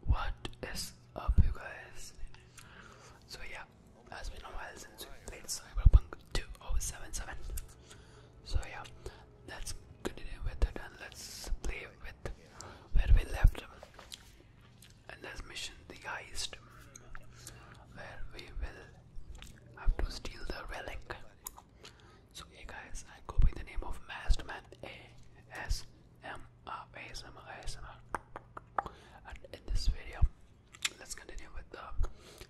What is up, you guys? So, yeah, has been a while since we played Cyberpunk 2077. So, yeah, let's continue with it and let's play with where we left and this mission, the heist, where we will have to steal the relic. So, hey guys, I go by the name of Masked A S M And in this video, let's continue with the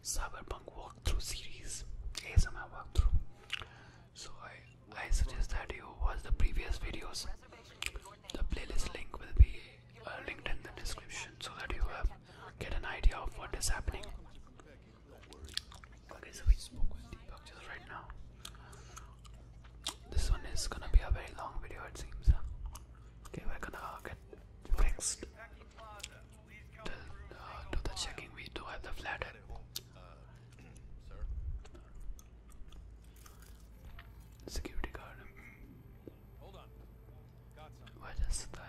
Cyberpunk walkthrough series, ASMR walkthrough. So I, I suggest that you watch the previous videos. The playlist link will be uh, linked in the description so that you get an idea of what is happening. This one is gonna be a very long video, it seems. Okay, we're gonna get fixed till, uh, the checking. We do have the flathead. Security guard. Hold on. Got something.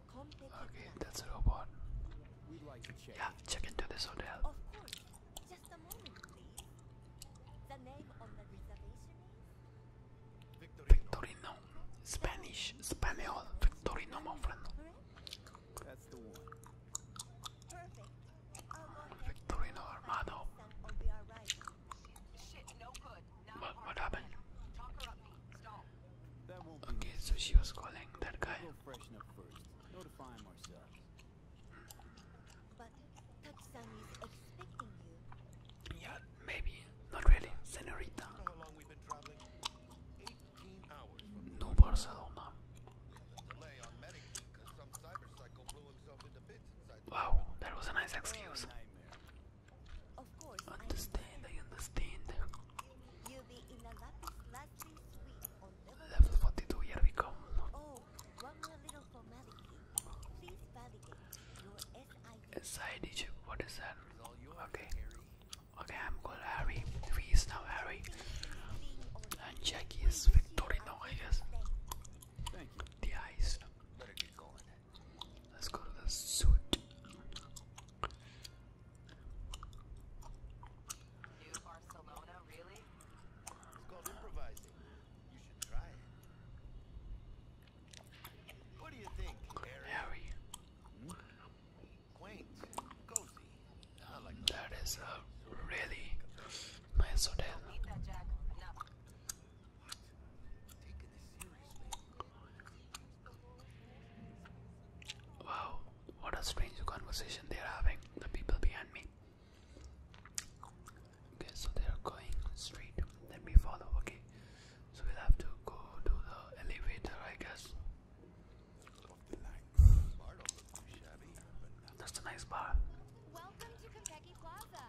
Okay, that's a robot. Yeah, check into this hotel. Of course. Victorino. Spanish. Spanish. Victorino, my friend. Victorino Armado. What, happened? Okay, so she was calling that guy. Yeah, maybe. Not really. Senorita. No Barcelona. Wow, that was a nice excuse. Of understand, I understand. You'll be in a lapis lazuli suite on level 42. Here we come. Oh, one more little formality. Please validate your SID. SID chip, what is that? Okay, okay, I'm called Harry. V is now Harry, and Jackie is Victorino, I guess. The eyes. Let's go to the suit. Barcelona, really? It's called improvising. You should try it. What do you think, Harry? Quaint, cozy. I like that. That is a really nice hotel. Wow, what a strange conversation they are having, the people behind me. Okay, so they are going straight, let me follow, okay? So we'll have to go to the elevator, I guess. That's a nice bar. Welcome to Kentucky Plaza.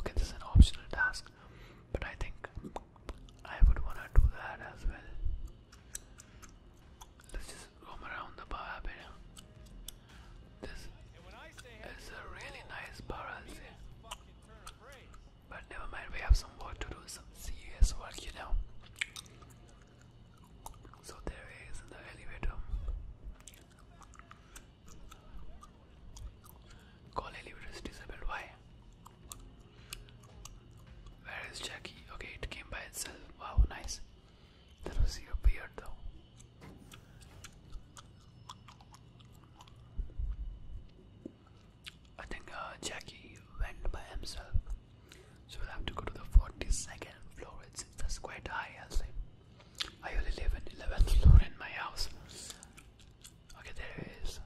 Okay, this is an optional task, but I think I would want to do that as well. Let's just roam around the bar a bit. This is a really nice bar, i But never mind, we have some work to do, some serious work, you know. So there in the elevator. Call elevator is disabled. Where is Jackie? Okay, it came by itself. Wow, nice. That was your beard, though. I think uh, Jackie went by himself, so we'll have to go to the forty-second floor. It's that's quite high, i say. I only live in eleventh floor in my house. Okay, there it is.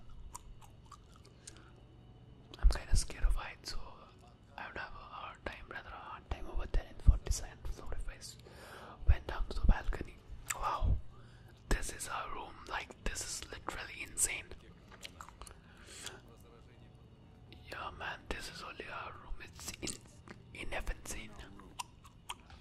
I'm kinda scared of heights, so I would have a hard time, rather a hard time over there in 47. So if I went down to the balcony, wow, this is our room. Like this is literally insane. Yeah, man, this is only our room. It's in in insane.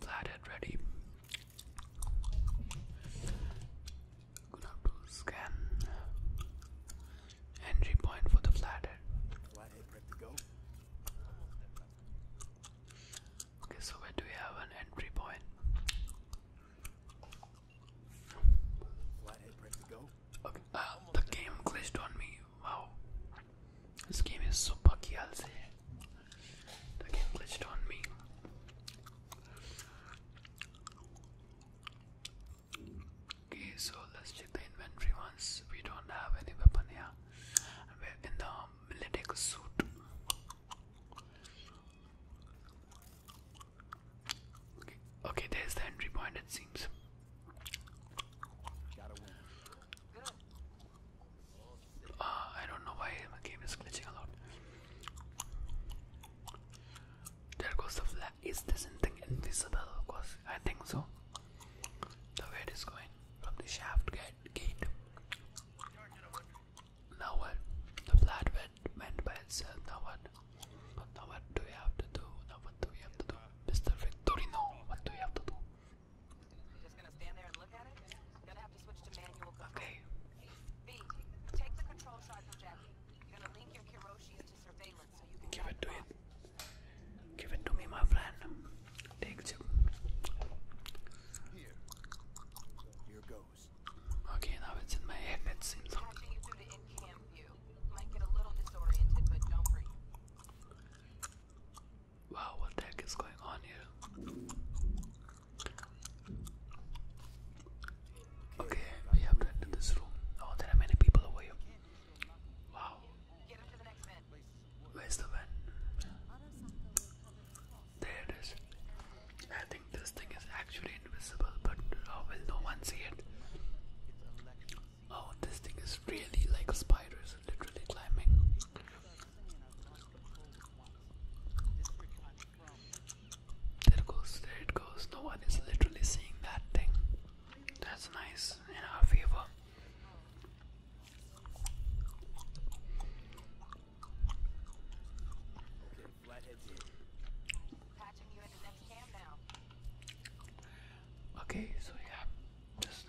Glad ready. Gonna have to scan entry point for the flathead. Flathead ready to go. Okay, so where do we have an entry point? Flathead ready to go. Okay, uh, the game glitched on me. Wow. This game is so buggy, i The game glitched on me. Okay, so let's check the inventory once. We don't have any weapon here. We're in the military suit. okay, there's the entry point, it seems. Uh, I don't know why my game is glitching a lot. There goes the flag. Is this thing invisible? Of course, I think so. The way is going from the shaft gate. gate. Now what? The flat went, went by itself. Now what? Now what do we have to do? Now what do we have to do? Mr. Victorino, what do we have to do? Just gonna stand there and look at it? Gonna have to switch to manual Okay. take the control shot Jackie. You're gonna link your Kiroshis to surveillance so you can Give it to it. Give it to me, my friend. Take two. Here. goes. Okay, now it's in my head, it seems. Wow, what the heck is going on here? Okay, we have to this room. Oh, there are many people over here. Wow. Where's the van? There it is. I think this thing is actually invisible, but oh, will no one see it? Oh, this thing is really like a spider, is literally climbing. There goes, there it goes. No one is literally seeing that thing. That's nice in our favor. Okay, so yeah, just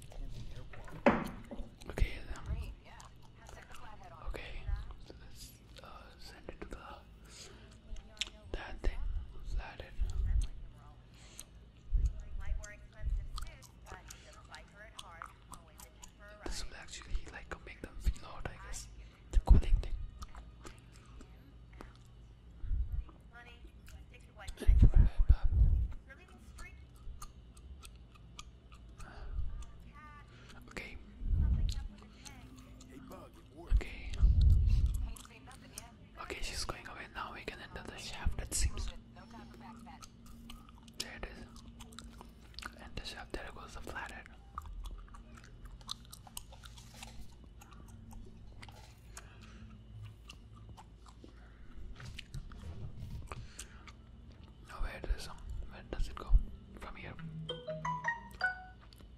Okay, then. Okay, so let's uh, send it to the that thing, flathead. This will actually like make them feel hot, I guess. The cooling thing. Okay. Okay. Okay, she's going away now. We can enter the shaft, it seems. There it is. Enter shaft, there goes the flathead. Um, where does it go from here?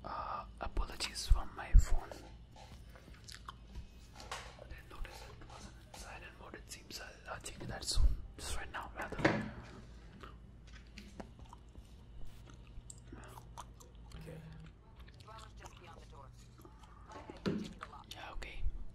Uh, apologies for my phone. I notice it mode. seems I'll, i that soon. Just right now, rather. Yeah, okay.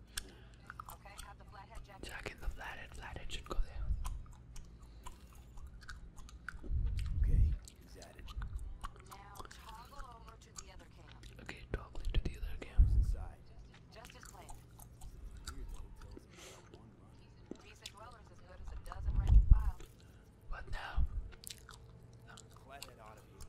got the have the flathead jacket. Jacket, the flathead, flathead should go there. Okay, Now toggle over to the other camp. Okay, toggle to the other camp. What now?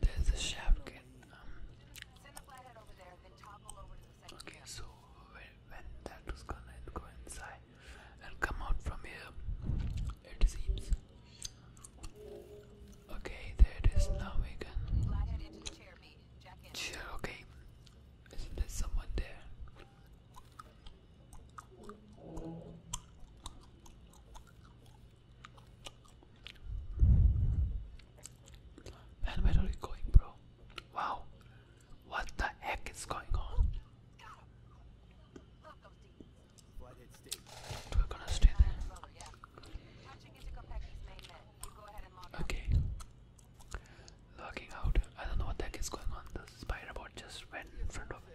There's a shotgun. Um, okay, so when, when gonna go inside and come out from here, it seems. Okay, there it is. Now we can. Chair, okay. Isn't there someone there? Man, where are you going, bro? Wow, what the heck is going on? We're gonna stay there. Okay. Looking out. I don't know what the heck is going on. The spider bot just went in front of it.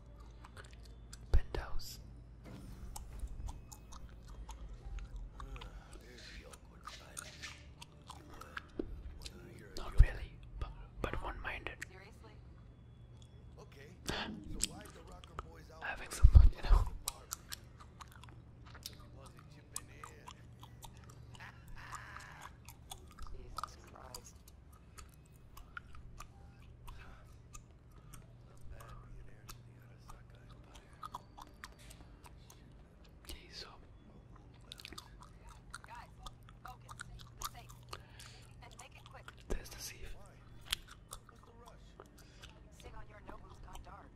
Penthouse. Not really, but, one-minded. Okay. having some fun, you know? Okay, so guys, focus, be safe, and make it quick. There's the safe. Sing on your nobles gone dark.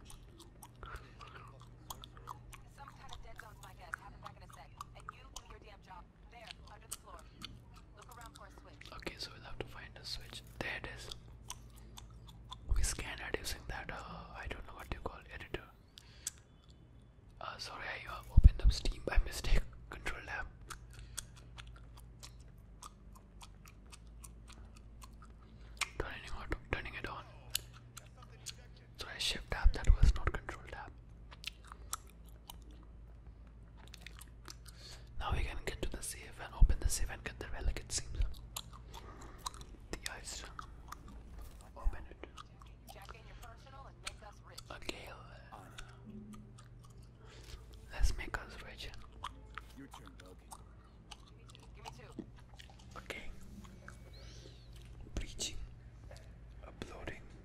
Some kind of dead zones, my guess. Happen back in a sec, and you do your damn job. Okay, so we'll have to find a switch. There it is. We scanned it using that, uh, I don't know what you call editor. Uh, sorry, I uh, opened up Steam by mistake. Control tab. Turning, on, turning it on. So shift tab, that was not control tab. Now we can get to the safe and open the safe and get the relic it seems. The ice. Open it. Okay. Uh, let's make us rich. Okay. Breaching. Uploading.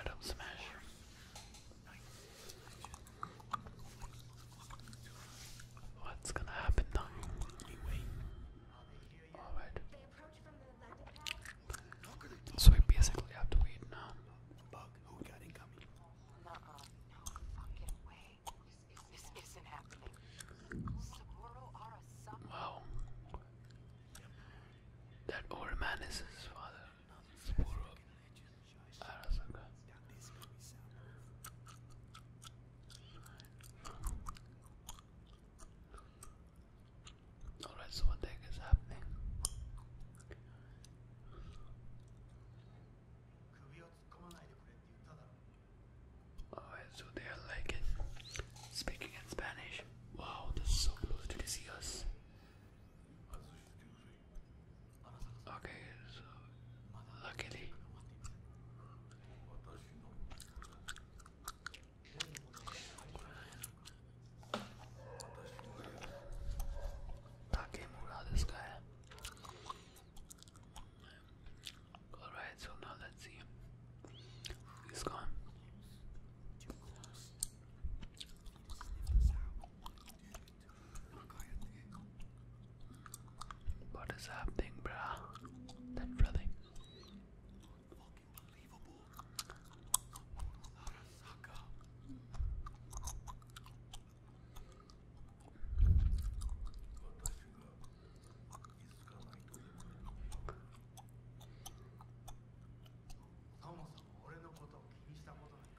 Adam Smash. What's gonna happen now? Oh, so we basically have to wait now. who got it no fucking way. This, isn't happening. Wow. That old man is his father. Alright, so what the heck is happening? Alright, so they like it. Speaking in Spanish. Wow, this is so close to the us. Okay, so luckily Takemura this guy. Alright, so now let's see. He's gone. What is happening, bruh? That brother.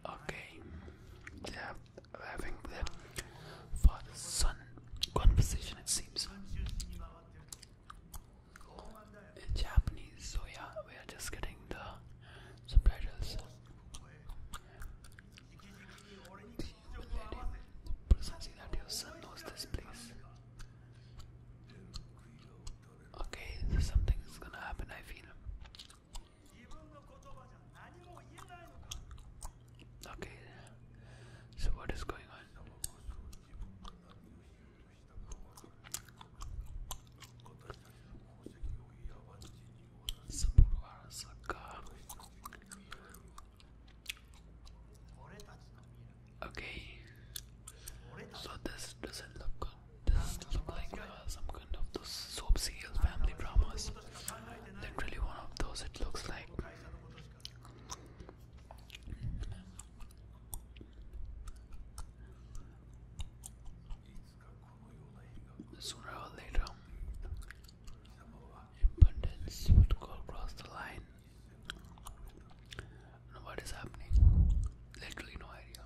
Okay, they are having their father son conversation, it seems. In Japanese, so yeah, we are just getting the subtitles. The lady that your son knows this place. Okay, something is gonna happen, I feel. Okay, so what is going on? Okay, so this doesn't look good. This looks like some kind of those soap serial family dramas. Literally one of those. It looks like. Sooner or later, abundance would go the line. And happening? Literally no idea.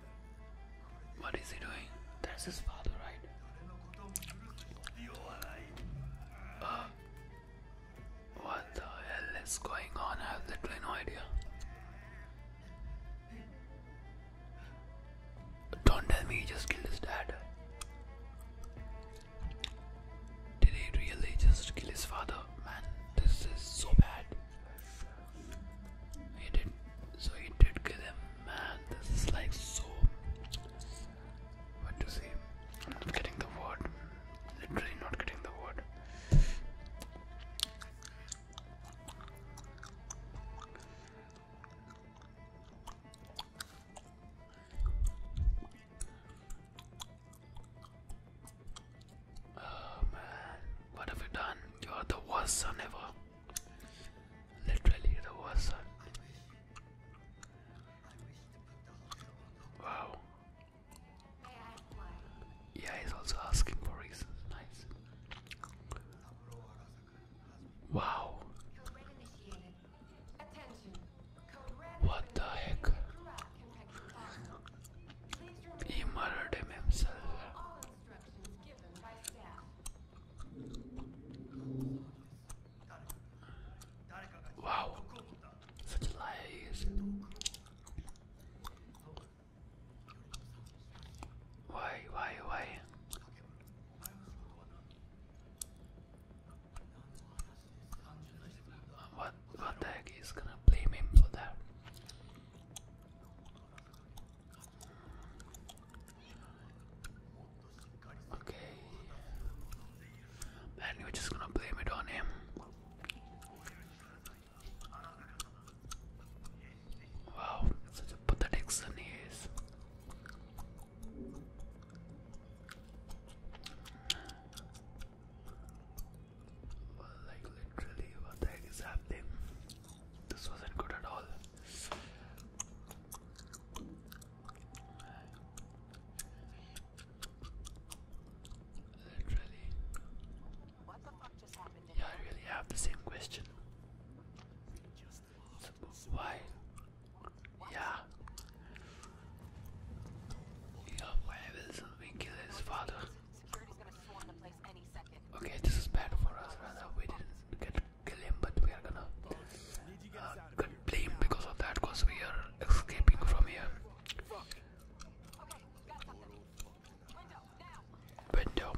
What is he doing? That's his father, right? Uh, what the hell is going on? I have literally no idea. Don't tell me he just killed his dad. Did he really just kill his father? Man, this is so bad. He did so he did give him man this is like so what to say I'm getting the word literally not getting the word Oh man, what have you done? You are the worst son ever. Literally the worst son. Wow. Yeah, he's also asking for reasons. Nice. Wow. What the heck? He murdered himself instructions given Wow, such lies. Why, why, why? What, what the heck is gonna blame him for that? Okay. And we're just gonna blame it on him. Wow, such a is. like literally, what the heck this wasn't good at all. Literally. Yeah, I really have the same question. why? Yeah. why will something his father? Okay, this is bad for us. Rather, we didn't get kill him, but we are gonna uh, get blamed because of that. Cause we are escaping from here. Window.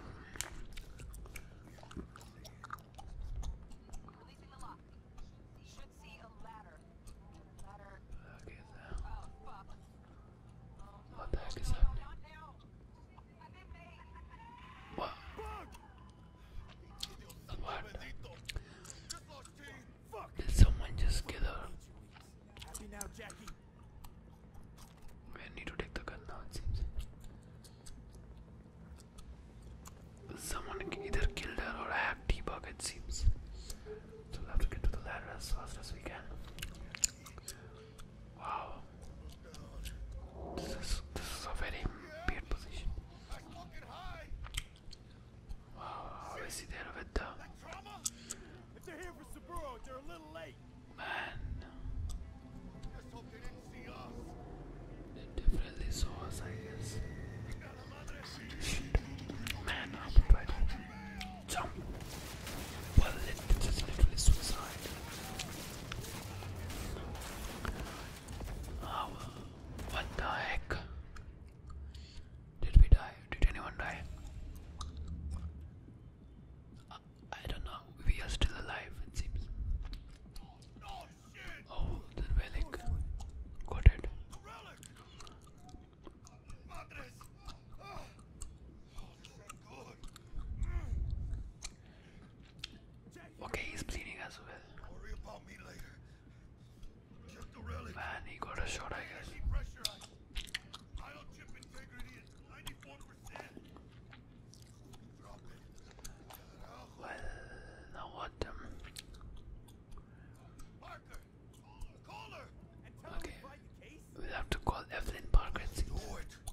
What the heck is happening? Wow. Did someone just get her? I need to take the gun now, it seems. Someone either killed her or I have debug, it seems. Wow. This is, this is a very weird position. Wow, how is he there with Man. definitely saw us, I guess. Man up, but jump. Well, it is literally suicide. Oh, what the Did we die? Did anyone die? I don't know. We are still alive, it seems. Oh, the relic. Got it. Okay, he's bleeding as well. Man, he got a shot, I guess. Well, now what? Um? Okay, we have to call Evelyn Parker. Do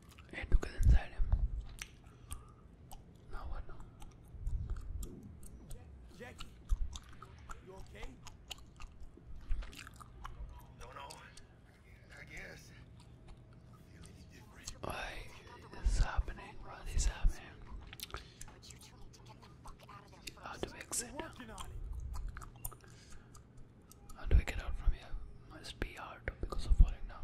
and I happening? What is happening? need to get the fuck How do we exit now? How do we get out from here? Must be hard because of falling down.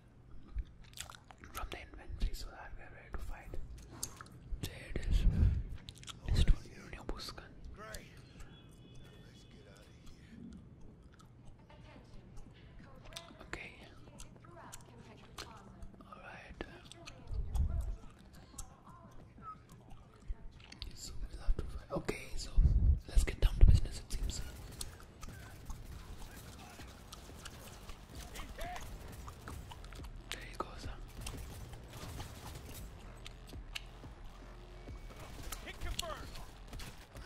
from the inventory so that we are ready to fight. There it is. Let's get out of here. Okay. Alright. So Okay, so let's get down to business it seems. There he goes.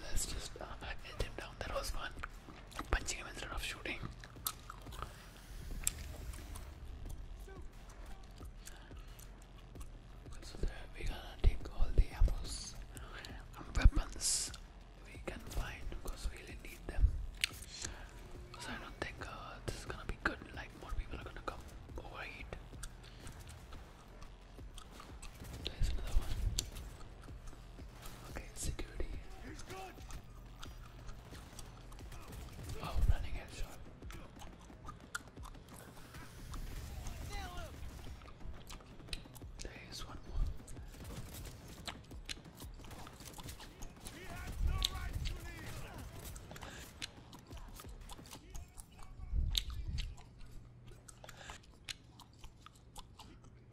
Let's just uh, him down. That was fun. Punching him instead of shooting. we're gonna take all the apples weapons we can find because we really need them. Because I don't think uh, this is gonna be good, like, more people are gonna come overeat. Oh, There's another one. Okay, security. Oh, running headshot. There is one more.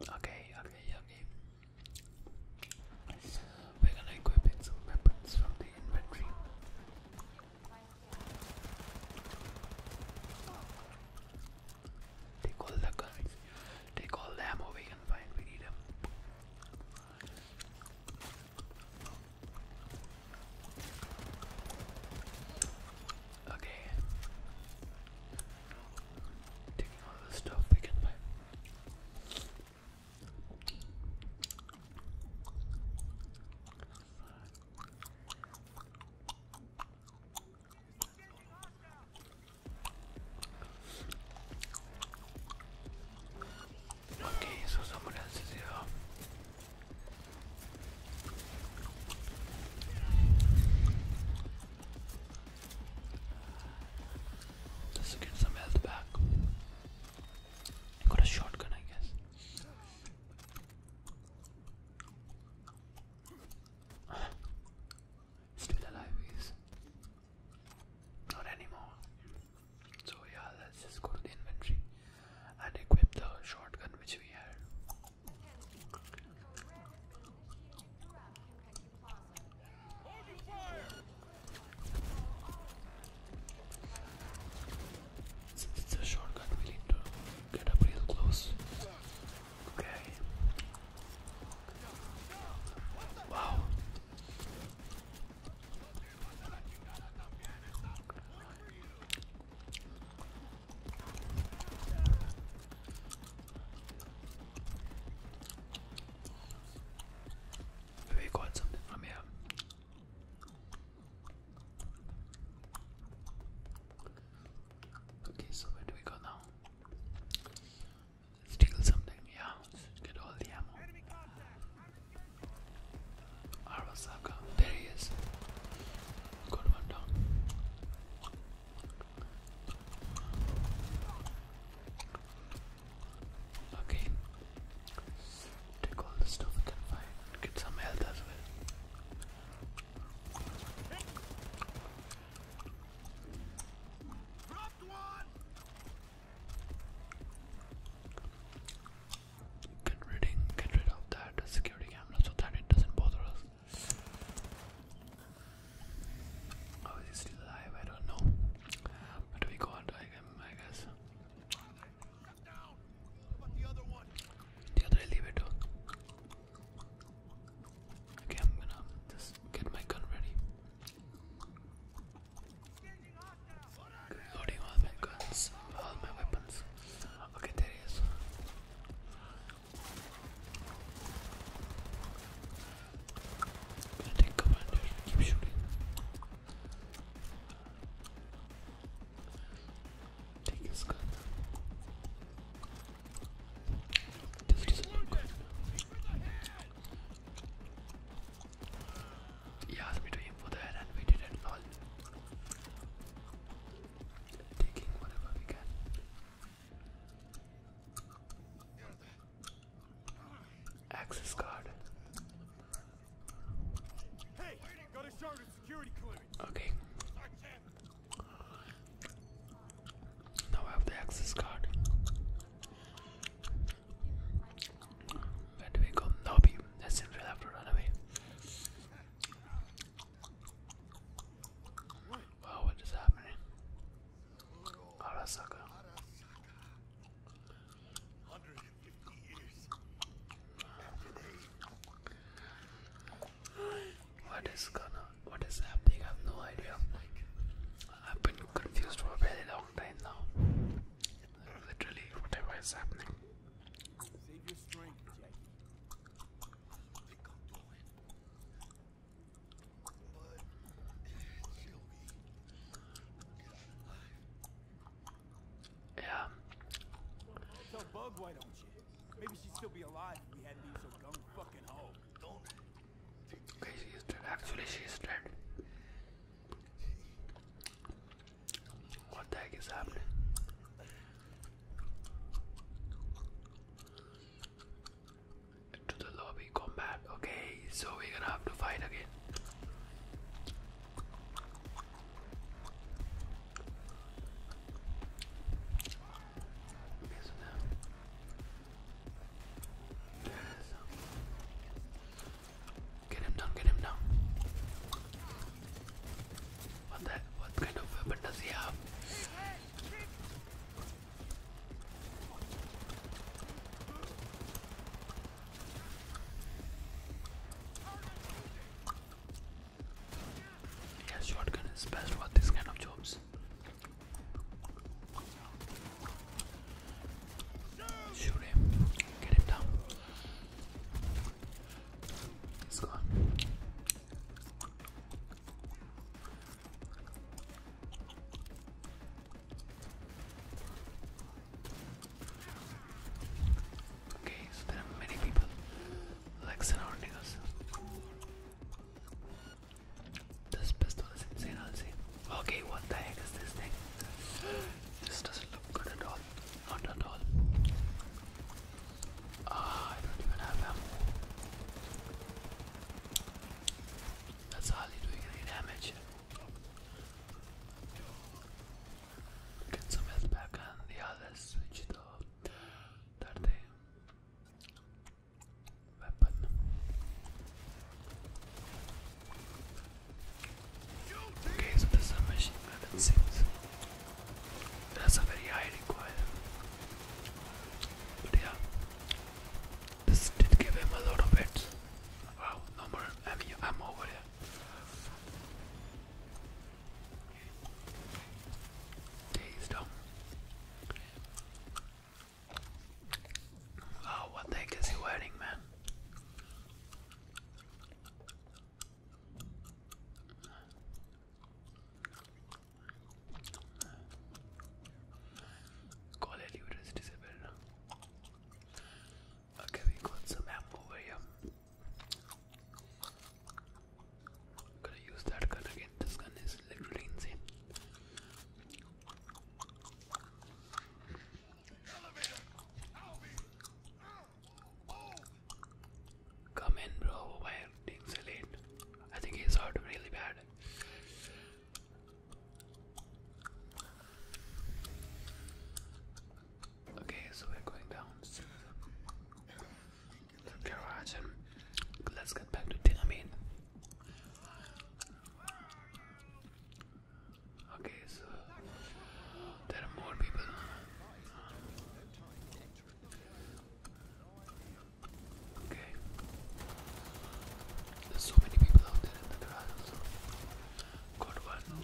Okay, okay, okay. We're gonna equip in some weapons from the inventory. Take all the guns. Take all the we can find. We need them. Okay. Taking all the stuff we can buy. Okay, so someone else is here. Let's get some health back. got a shotgun, I guess still alive is not anymore. So yeah, let's just go to the inventory and equip the shotgun which we had. Since it's a shortcut, we need to get up real close. Okay. Wow, Maybe got something from here. Okay, so where do we go now? Steal something, yeah. Get all the ammo. Arasaka, there he is. Good one down. Okay. Take all the stuff we can Get some health as well. Get rid, of that security camera so that it doesn't bother us. Oh, is he still alive? I don't know. But we got him, I guess. The other elevator. Okay, I'm gonna just get my gun ready. Reloading all my guns, all my weapons. Okay, there he is. Gonna take command here, keep shooting. Take his gun. This doesn't look good. He asked me to aim for and we did it lol. Taking whatever we can. Access card. Okay. Now I have the access card. Where do we go? Lobby. That seems we have to run away. Wow, what is happening? Arasaka. What is gonna what is happening? I have no idea. I've been confused for a very long long time Literally, whatever is happening. Yeah. Tell Bug why don't you? Maybe she'd still be alive if we hadn't been so gung fucking ho. Okay, she dead. Actually, she's dead. What the heck is happening? To the lobby combat. Okay, so we're gonna have to fight again. Okay, so now Get him down, get him down. What kind of weapon does he have? Yeah, shotgun is best for this kind of jobs. Shoot him. Get him down. He's gone. Okay, so there are many people like surrounding us. This pistol is insane, I'll see. Okay, what the heck is this thing? This doesn't look good at all. Not at all. Ah, I don't even have ammo. That's hardly doing any damage. Get some health back and yeah, let switch the that thing. Okay, so the submachine weapon that's a very high require. But yeah, this did give him a lot of hits. Wow, no more. I mean, I'm over here. Okay, he's down. Oh, what the heck is he wearing, man? Call it is disabled. Okay, we got some ammo over here. gonna use that gun again. This gun is literally insane. Come in, bro. Why are I think he's hurt really bad. Okay, so we're going down to the garage and let's get back to Tinamine. Okay, so there are more people. Okay. There's so many people out there in the garage also. one.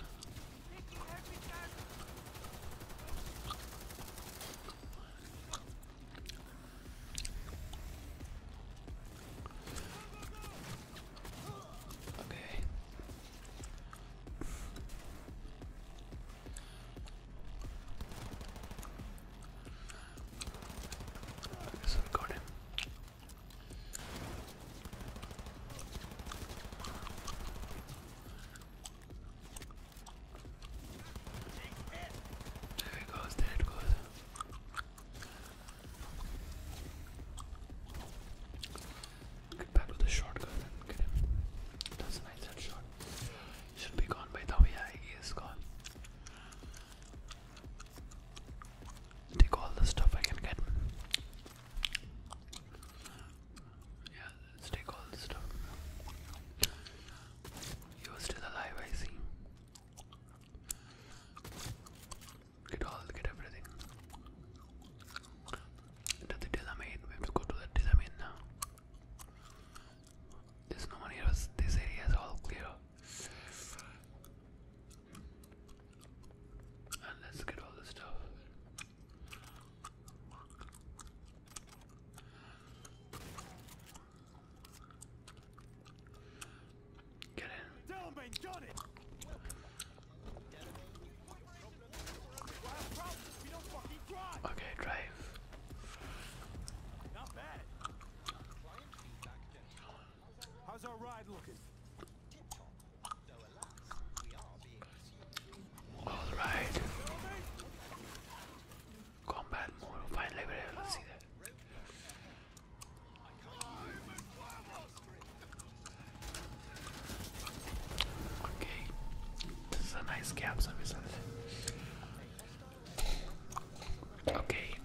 Okay. I guess I him. There it goes, there it goes. Get back to the shotgun That's a nice headshot. Should be gone by now. he is gone. Take all the stuff I can get. Yeah, take all the stuff. You're still alive, I see. Get all, get everything. Into the We have to go to the Delamine now. There's no one here, this area is all clear. And let's get all the stuff. Get in. Got it. Okay, drive. Not bad. How's our ride looking? All right. Combat mode. Finally, we're able to see that. Okay, this is a nice capsule, isn't it? Okay,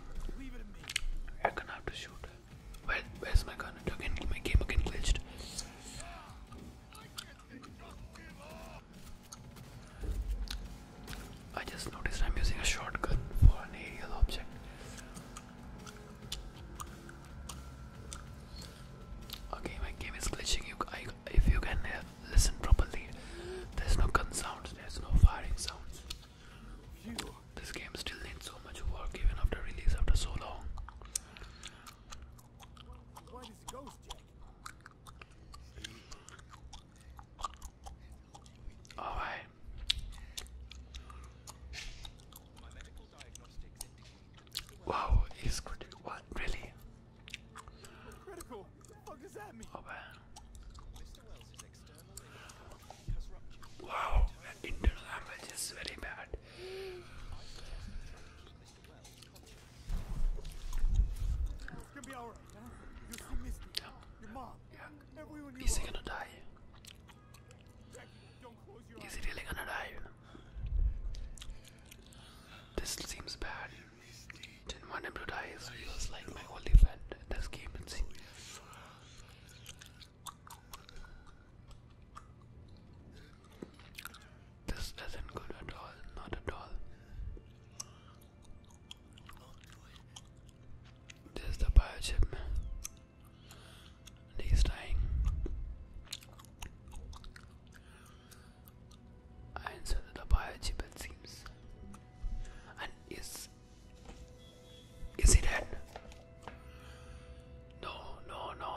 I'm gonna have to shoot. Where, where's my gun? Again, my game again glitched. I just noticed I'm using a shotgun for an aerial object. Okay, my game is glitching. if you can uh, listen properly, there's no gun sounds, there's no firing sounds. This game still needs so much work even after release after so long. Alright. Wow, he's critical. What? Really? Critical? What does that mean? Oh, man. Wow, the internal damage is very bad. Be right, huh? You see Misty, your mom, yeah. everyone you Is he gonna die? Is he really gonna die? This seems bad. Didn't want him to die, so he was like my only friend this game. It This isn't good at all, not at all. There's the biochip he's dying. And so the biochip it And is is he dead? No, no, no.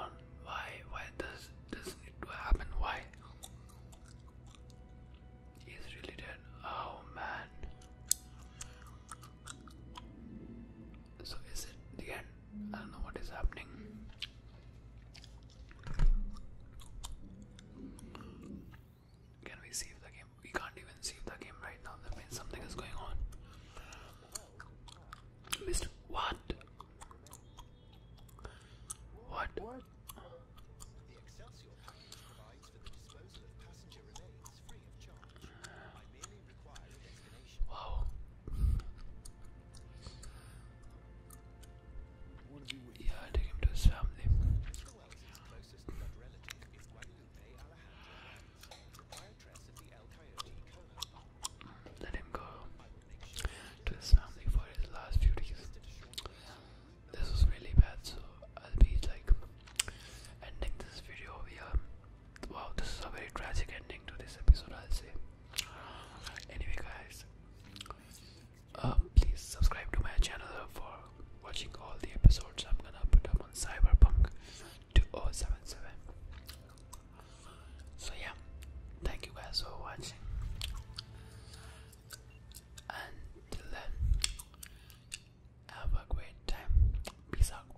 Why? Why does this need to happen? Why? He's really dead. Oh man. So is it the end? I don't know what is happening. Can we save the game? We can't even save the game right now. That means something is going on. Missed what? What? What? Wow. Yeah, I him to his family. Let him go to his family for his last few days. This was really bad, so I'll be like ending this video. here wow, this is a very tragic ending to this episode, I'll say. Anyway, guys, uh, please subscribe to my channel for watching all the episodes I'm gonna put up on Cyberpunk 2077. So, yeah, thank you guys for watching. And till then, have a great time. Peace out.